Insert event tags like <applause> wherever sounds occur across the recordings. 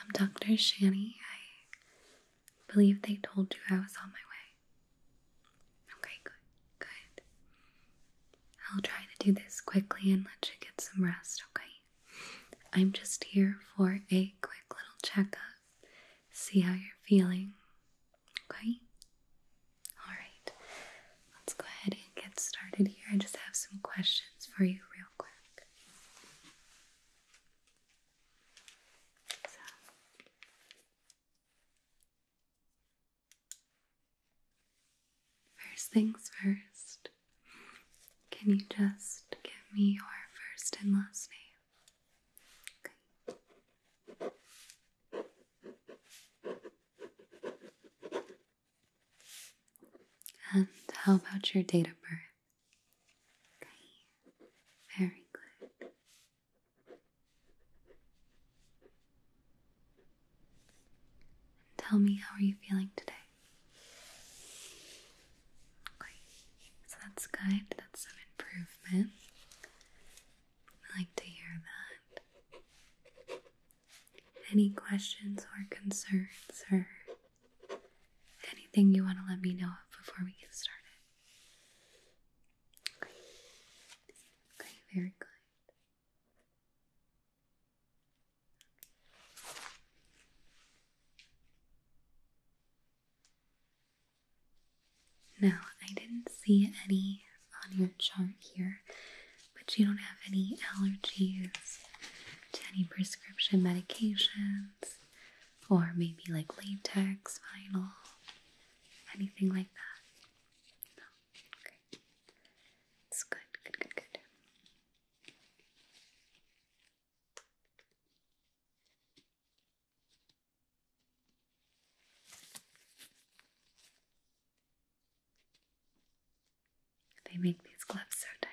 I'm Dr. Shani. I believe they told you I was on my way. Okay, good, good. I'll try to do this quickly and let you get some rest, okay? I'm just here for a quick little checkup, see how you're feeling, okay? Alright, let's go ahead and get started here. I just have some questions for you, real quick. First things first, can you just give me your first and last name? And how about your date of birth? Okay. Very good. tell me how are you feeling today? So that's good. That's some improvement. I like to hear that. Any questions or concerns or Anything you want to let me know before we get started? Okay. Okay, very good. Now, I didn't see any on your chart here, but you don't have any allergies to any prescription medications, or maybe like latex, vinyl, anything like that? It's good, good, good, good. They make these gloves so tight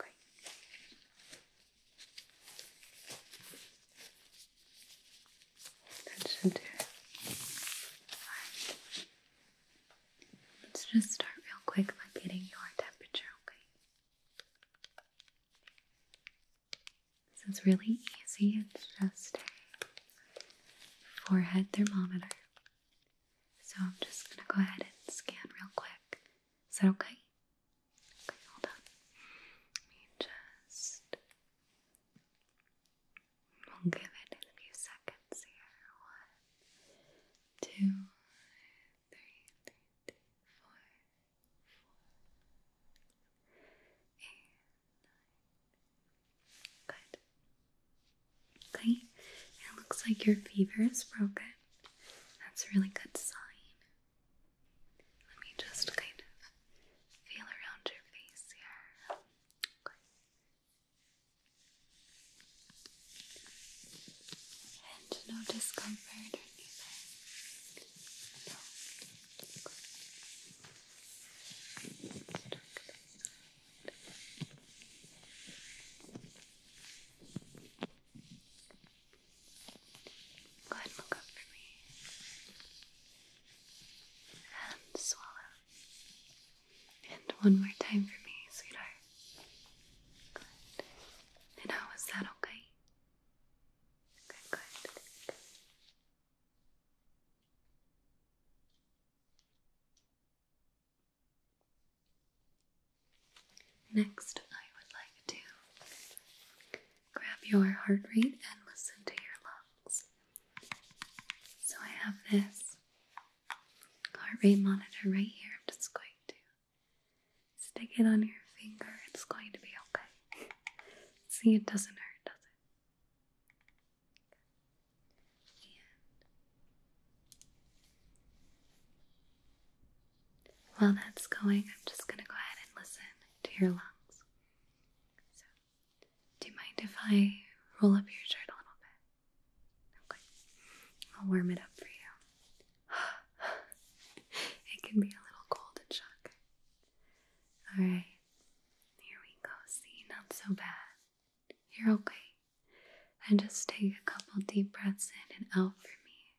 Okay. That should do Let's just start real quick by getting your temperature, okay? This is really easy. It's just a forehead thermometer. So I'm just going to go ahead and scan real quick. Is that okay? Okay, hold on. Let just. We'll give it a few seconds here. One, two, three, three, two, four, four, eight, nine. Good. Okay, it looks like your fever is broken. That's a really good sign. Let me just kind of feel around your face here. And no discomfort or anything. Go ahead and look up for me. And swallow. And one more time for me, sweetheart. Good. And how was that okay? Good, good. Next, I would like to grab your heart rate and listen to your lungs. So I have this heart rate monitor right here. I'm just going to stick it on your finger. It's going to be okay. See, it doesn't hurt, does it? And while that's going, I'm just going to go ahead and listen to your lungs. do you mind if I roll up your shirt a little bit? Okay. I'll warm it up for you. <sighs> it can be a little cold and shock. Alright. Here we go. See, not so bad. You're okay. And just take a couple deep breaths in and out for me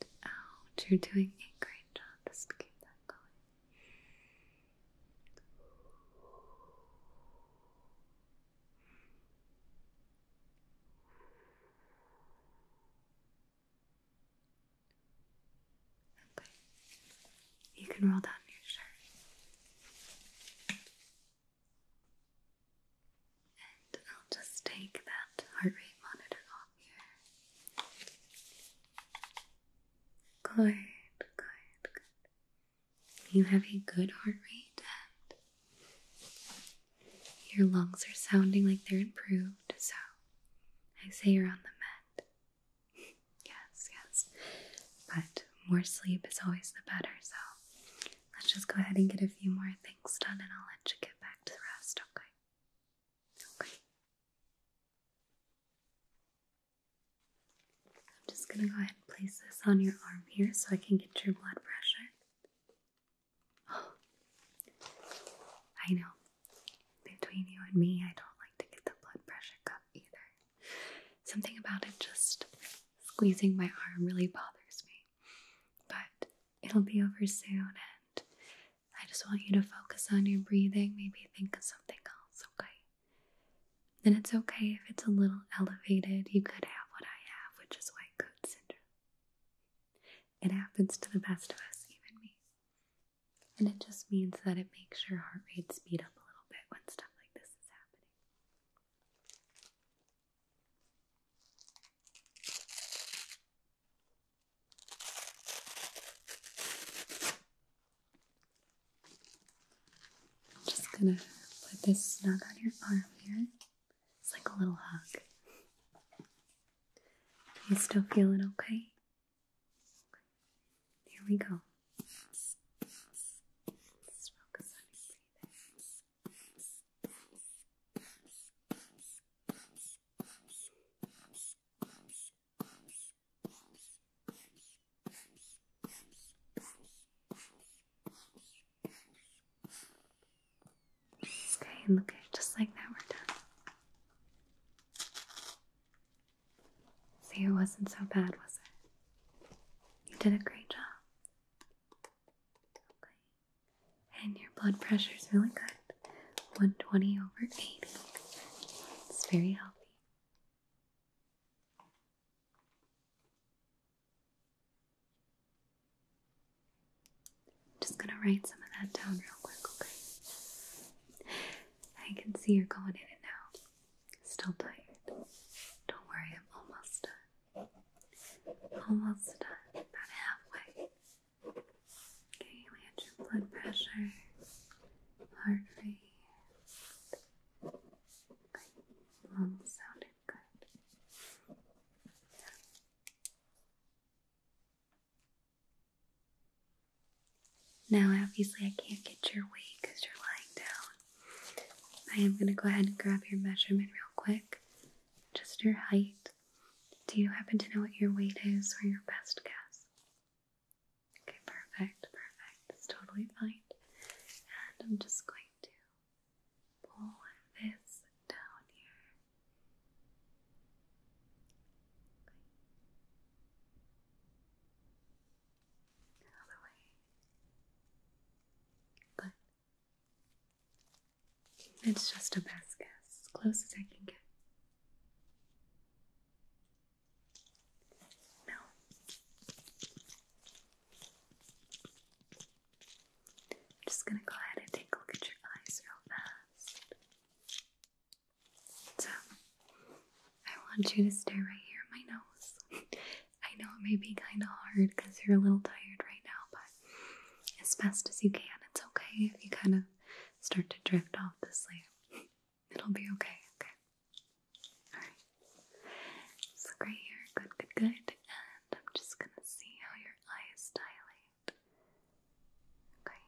and out. You're doing a great job. Just keep that going. Okay. You can roll down your shirt. And I'll just take that heart rate monitor off here. Good, good, good. You have a good heart rate and your lungs are sounding like they're improved, so I say you're on the mend. <laughs> yes, yes. But more sleep is always the better, so let's just go ahead and get a few more things done and I'll let you get back to the rest, okay? Okay. I'm just going to go ahead and place this on your arm here so I can get your blood pressure. <gasps> I know. Between you and me, I don't like to get the blood pressure cup either. Something about it just squeezing my arm really bothers me. But it'll be over soon, and I just want you to focus on your breathing. Maybe think of something else, okay? And it's okay if it's a little elevated. You could have what I have, which is white coat syndrome. It happens to the best of us, even me. And it just means that it makes your heart rate speed up a little bit when stuff like this is happening. I'm just gonna put this snug on your arm here. It's like a little hug. You still feeling okay? Here we go. Okay, and look at just like that, we're done. See, it wasn't so bad, was it? You did a great job. And your blood pressure is really good 120 over 80. It's very healthy. I'm just gonna write some of that down real quick, okay? I can see you're going in it now. Still tired. Don't worry, I'm almost done. Almost done. About halfway. Okay, we had your blood pressure, heart rate. Okay, sounded good. Now, obviously, I can't get your weight because you're lying down. I am going to go ahead and grab your measurement real quick. Just your height. Do you happen to know what your weight is or your best guess? Okay, perfect, perfect. That's totally fine. And I'm just going to pull this down here. Okay. All way. Good. It's just a best guess, close as I can get. No. just gonna go ahead and take a look at your eyes real fast. So, I want you to stare right here at my nose. <laughs> I know it may be kind of hard because you're a little tired right now, but as fast as you can. It's okay if you kind of start to drift off to sleep. It'll be okay, okay? Alright. So right here, good, good, good. And I'm just gonna see how your eyes dilate. Okay.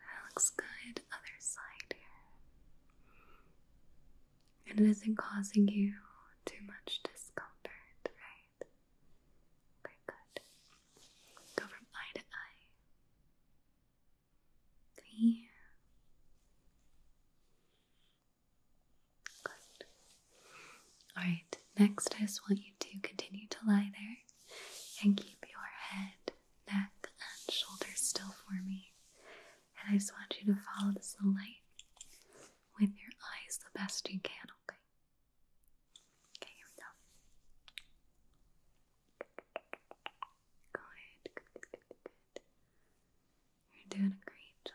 That looks good. Other side here and it isn't causing you too much discomfort, right? Okay, good. Go from eye to eye. Here. Good. Alright, next I just want you to continue to lie there and keep your head, neck, and shoulders still for me. And I just want you to follow this little light with your eyes the best you can, okay? Okay, here we go. Good, good, good, good, You're doing a great job.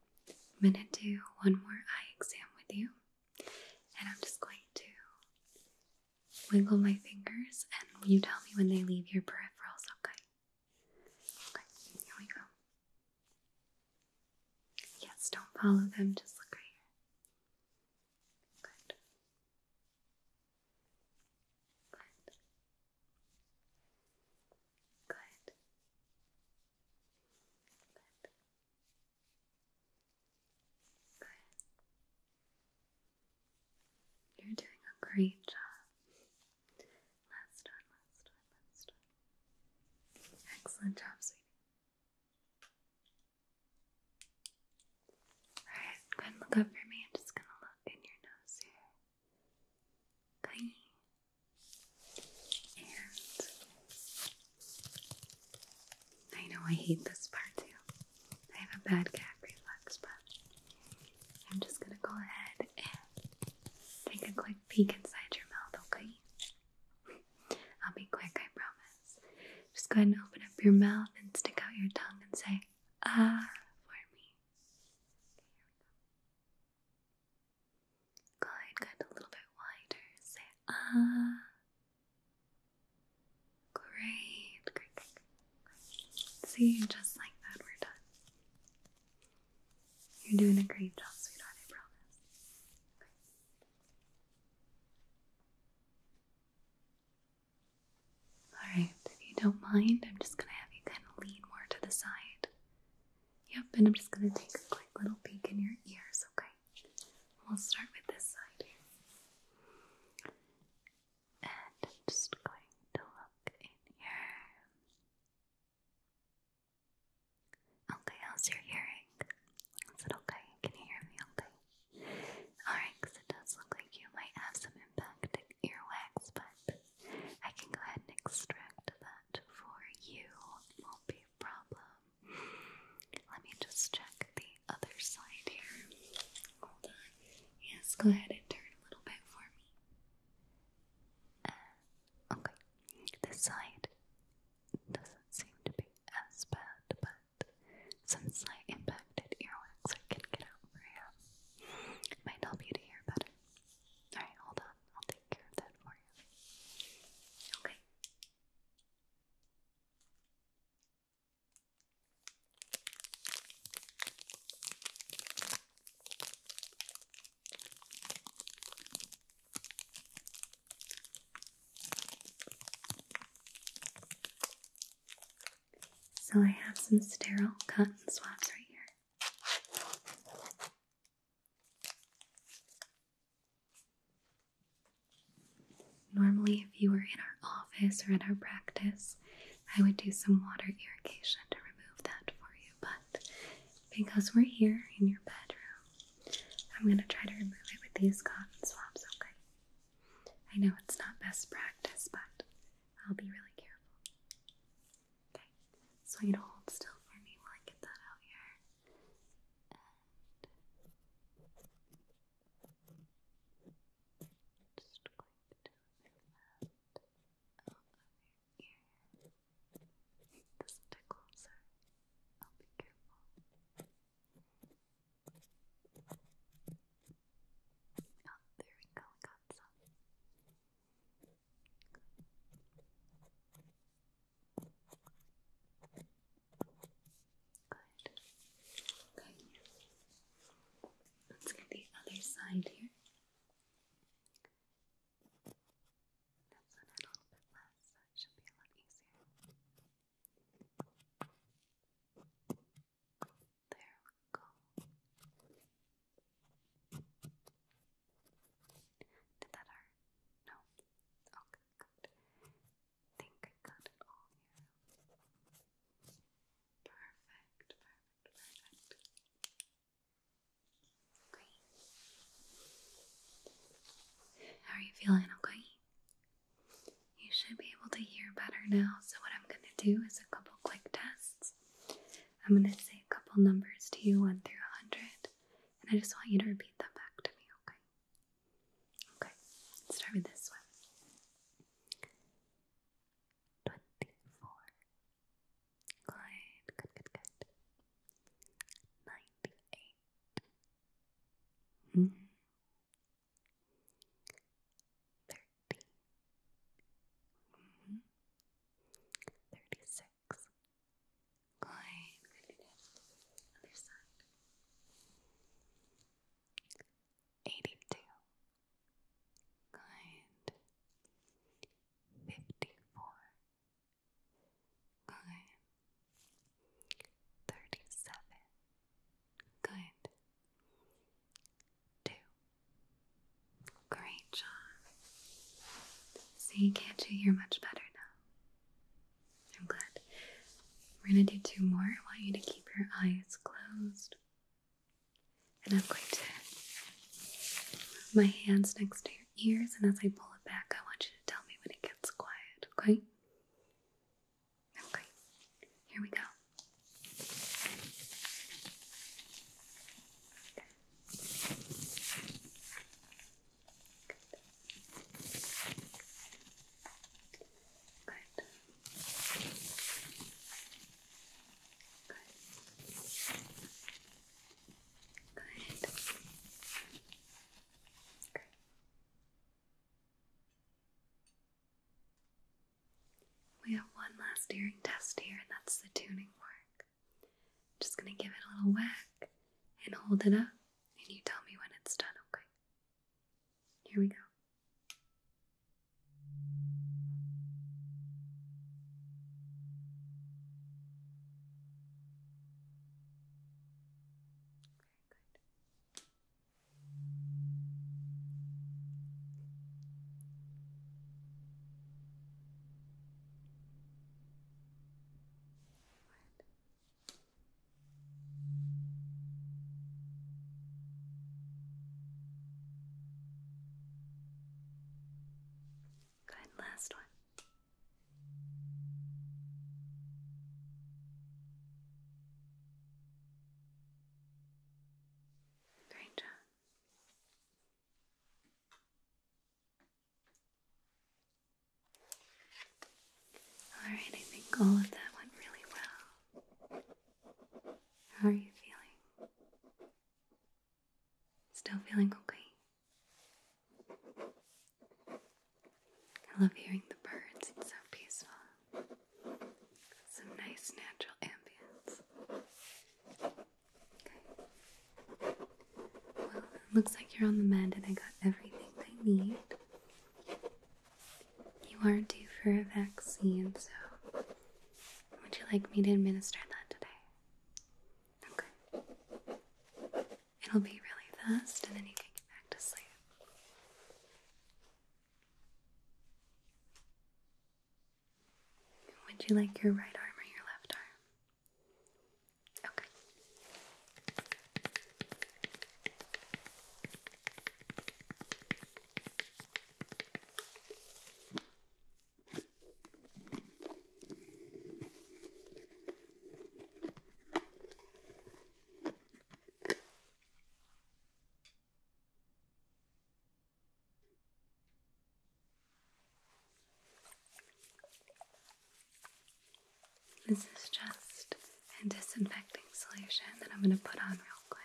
I'm going to do one more eye exam with you. And I'm just going to wiggle my fingers and you tell me when they leave your peripherals, okay? Okay, here we go. Yes, don't follow them, just look right here. Good. Good. Good. Good. Good. You're doing a great job. Last one, last one, last one. Excellent job, sweetie. Alright, go ahead and look up for me. I'm just gonna look in your nose here. I know I hate this part too. I have a bad gag reflex, but I'm just gonna go ahead and take a quick peek inside your mouth, okay? I'll be quick, I promise. Just go ahead and open up your mouth and stick out your tongue and say, ah, for me. Good, good. A little bit wider. Say ah. Great, great, See, just like that, we're done. You're doing a great job, sweetheart, I promise. Alright, if you don't mind, I'm just gonna have you kind of lean more to the side. Yep, and I'm just going to take a quick little peek in your ears, okay? We'll start with this side And I'm just going to look in here. Okay, how's your hearing? Is it okay? Can you hear me okay? Alright, because it does look like you might have some impacted earwax, but I can go ahead and extract them that for you won't be a problem. Let me just check the other side here. Hold on. Yes, go ahead and turn a little bit for me. Uh, okay, this side doesn't seem to be as bad, but some slight impacted earwax I can get over here. Might help you to hear better. Alright, hold on. I'll take care of that for you. Okay. So, I have some sterile cotton swabs right here. Normally, if you were in our office or in our practice, I would do some water irrigation to remove that for you, but because we're here in your bedroom, I'm going to try to remove it with these cotton swabs, okay? I know it's not best practice, but I'll be really careful. Okay, so you do hold still for me while I get that out here. just going to move that out of your ear. This tickles I'll be careful. Oh, there we got some. Let's get the other side here. This a little bit less, so it should be a lot easier. There we go. Did that hurt? No? Okay, good. Think I got it all Perfect, perfect, perfect. Great. How are you feeling, okay? You should be able to hear better now, so what I'm going to do is a couple quick tests I'm going to say a couple numbers to you, 1 through a 100, and I just want you to repeat them back to me, okay? Okay, start with this one 24. Good, good, good, 98. Hmm. 30. Hmm. 36 six. Good. Eighty-two. Good. Fifty-four. Good. Thirty-seven. Good. Two. Great job. So you can't you hear much better now? I'm glad. We're gonna do two more. I want you to keep your eyes closed. And I'm going to put my hands next to your ears, and as I pull it back, I want you to tell me when it gets quiet, okay? Okay, here we go. We have one last earring test here, and that's the tuning fork. Just gonna give it a little whack and hold it up, and you tell me when it's done, okay? Here we go. What? Good, last one. Great job. Alright, I think all of that went really well. How are you feeling? Still feeling okay? I love hearing the birds, it's so peaceful. Some nice natural ambience. Well, it looks like you're on the mend and I got everything I need. You are due for a vaccine, so would you like me to administer that today? Okay. It'll be really fast and then you can get back to sleep. Would you like your right arm or your left arm? Okay. This is just a disinfecting solution that I'm going to put on real quick.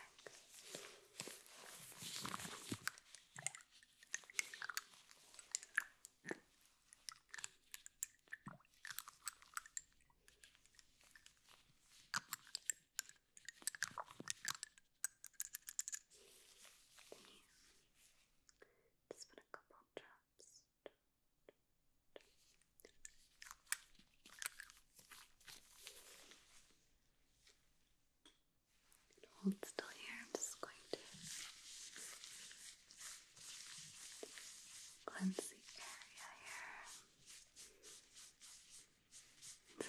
Okay. Just put a couple drops. hold still here. I'm just going to cleanse the area here.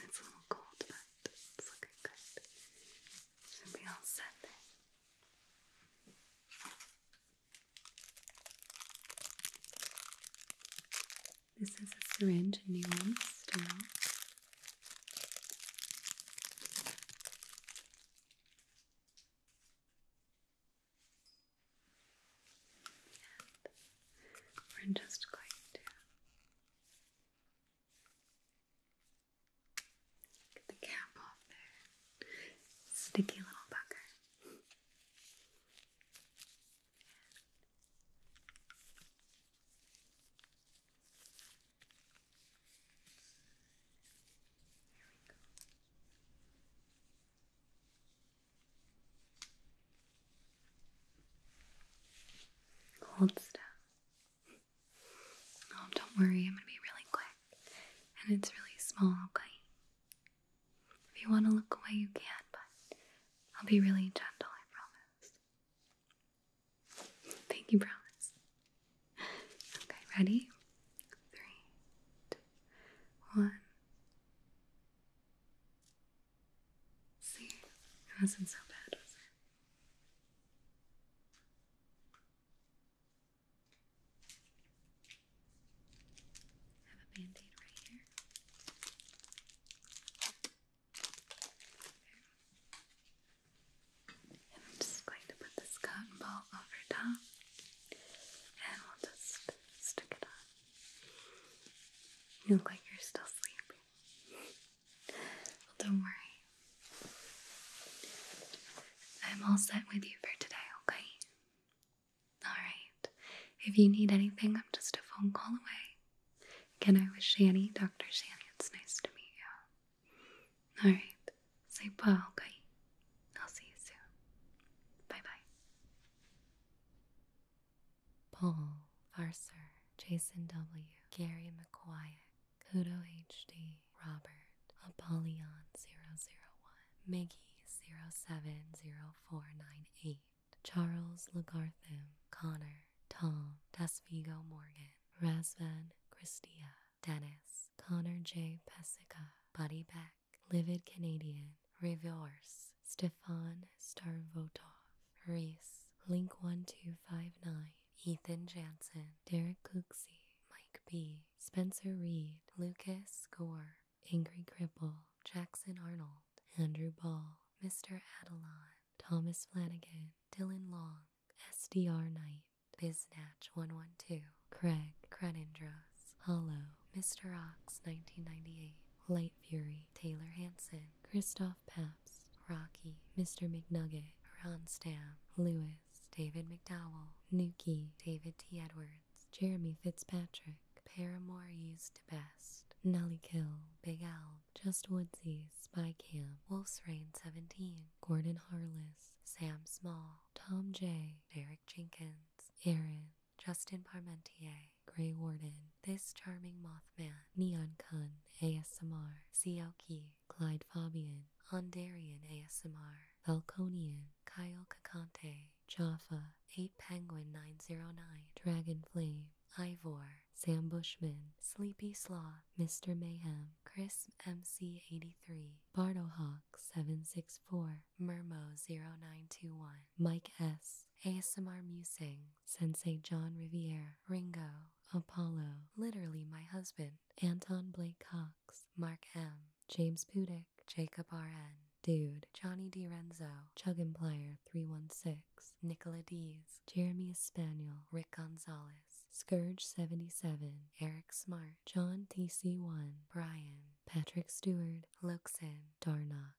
It's a little cold, but it's looking good. Should all set This is a syringe, new one still. we're just going to Get the cap off there. Sticky little bugger. Hold still. Oh, don't worry, I'm gonna be really quick. And it's really small, okay? If you want to look away, you can, but I'll be really gentle, I promise. Thank you, promise. Okay, ready? Three, two, one. See, it wasn't so bad, was it? have a band right here. And I'm just going to put this cotton ball over top and we'll just stick it on. You look like you're still sleeping don't worry. I'm all set with you for today, okay? Alright. If you need anything, I'm just a phone call away. Again, I was Shanny, Dr. Shanny. It's nice to meet you. Alright. Say bye, okay? I'll see you soon. Bye bye. Paul. Cole, Jason W., Gary McQuack, Kudo HD, Robert, Apollyon001, Miggy070498, Charles Lagartham, Connor, Tom, Desvigo Morgan, Razvan Christia, Dennis, Connor J. Pesica, Buddy Beck, Livid Canadian, Reverse, Stefan Starvotov, Reese, Link1259, Ethan Jansen, Derek Cooksey, Mike B, Spencer Reed, Lucas Gore, Angry Cripple, Jackson Arnold, Andrew Ball, Mr. Adelon, Thomas Flanagan, Dylan Long, SDR Knight, Biznatch112, Craig, Crenindros, Hollow, Mr. Ox 1998, Light Fury, Taylor Hanson, Christoph Papps, Rocky, Mr. McNugget, Ron Stam, Lewis, David McDowell, Nuki, David T. Edwards, Jeremy Fitzpatrick, Paramore used to best, Nelly Kill, Big Alb, Just Woodsy, Spy Camp, Wolf's Reign 17, Gordon Harless, Sam Small, Tom J., Derek Jenkins, Aaron, Justin Parmentier, Grey Warden, This Charming Mothman, Neon Kun ASMR, Siaoki, Clyde Fabian, Ondarian ASMR, Falconian, Kyle Kakante, Jaffa, 8 Penguin 909, Dragon Flame, Ivor, Sam Bushman, Sleepy Sloth, Mr. Mayhem, Chris MC83, Hawk 764 Mermo0921, Mike S, ASMR Musing, Sensei John Riviere, Ringo, Apollo, literally my husband, Anton Blake Cox, Mark M, James Pudick, Jacob R.N., Dude, Johnny Renzo, DiRenzo, Chugimplier 316, Nicola Dees, Jeremy Espaniel, Rick Gonzalez, Scourge 77, Eric Smart, John TC1, Brian, Patrick Stewart, Loxin, Darnock.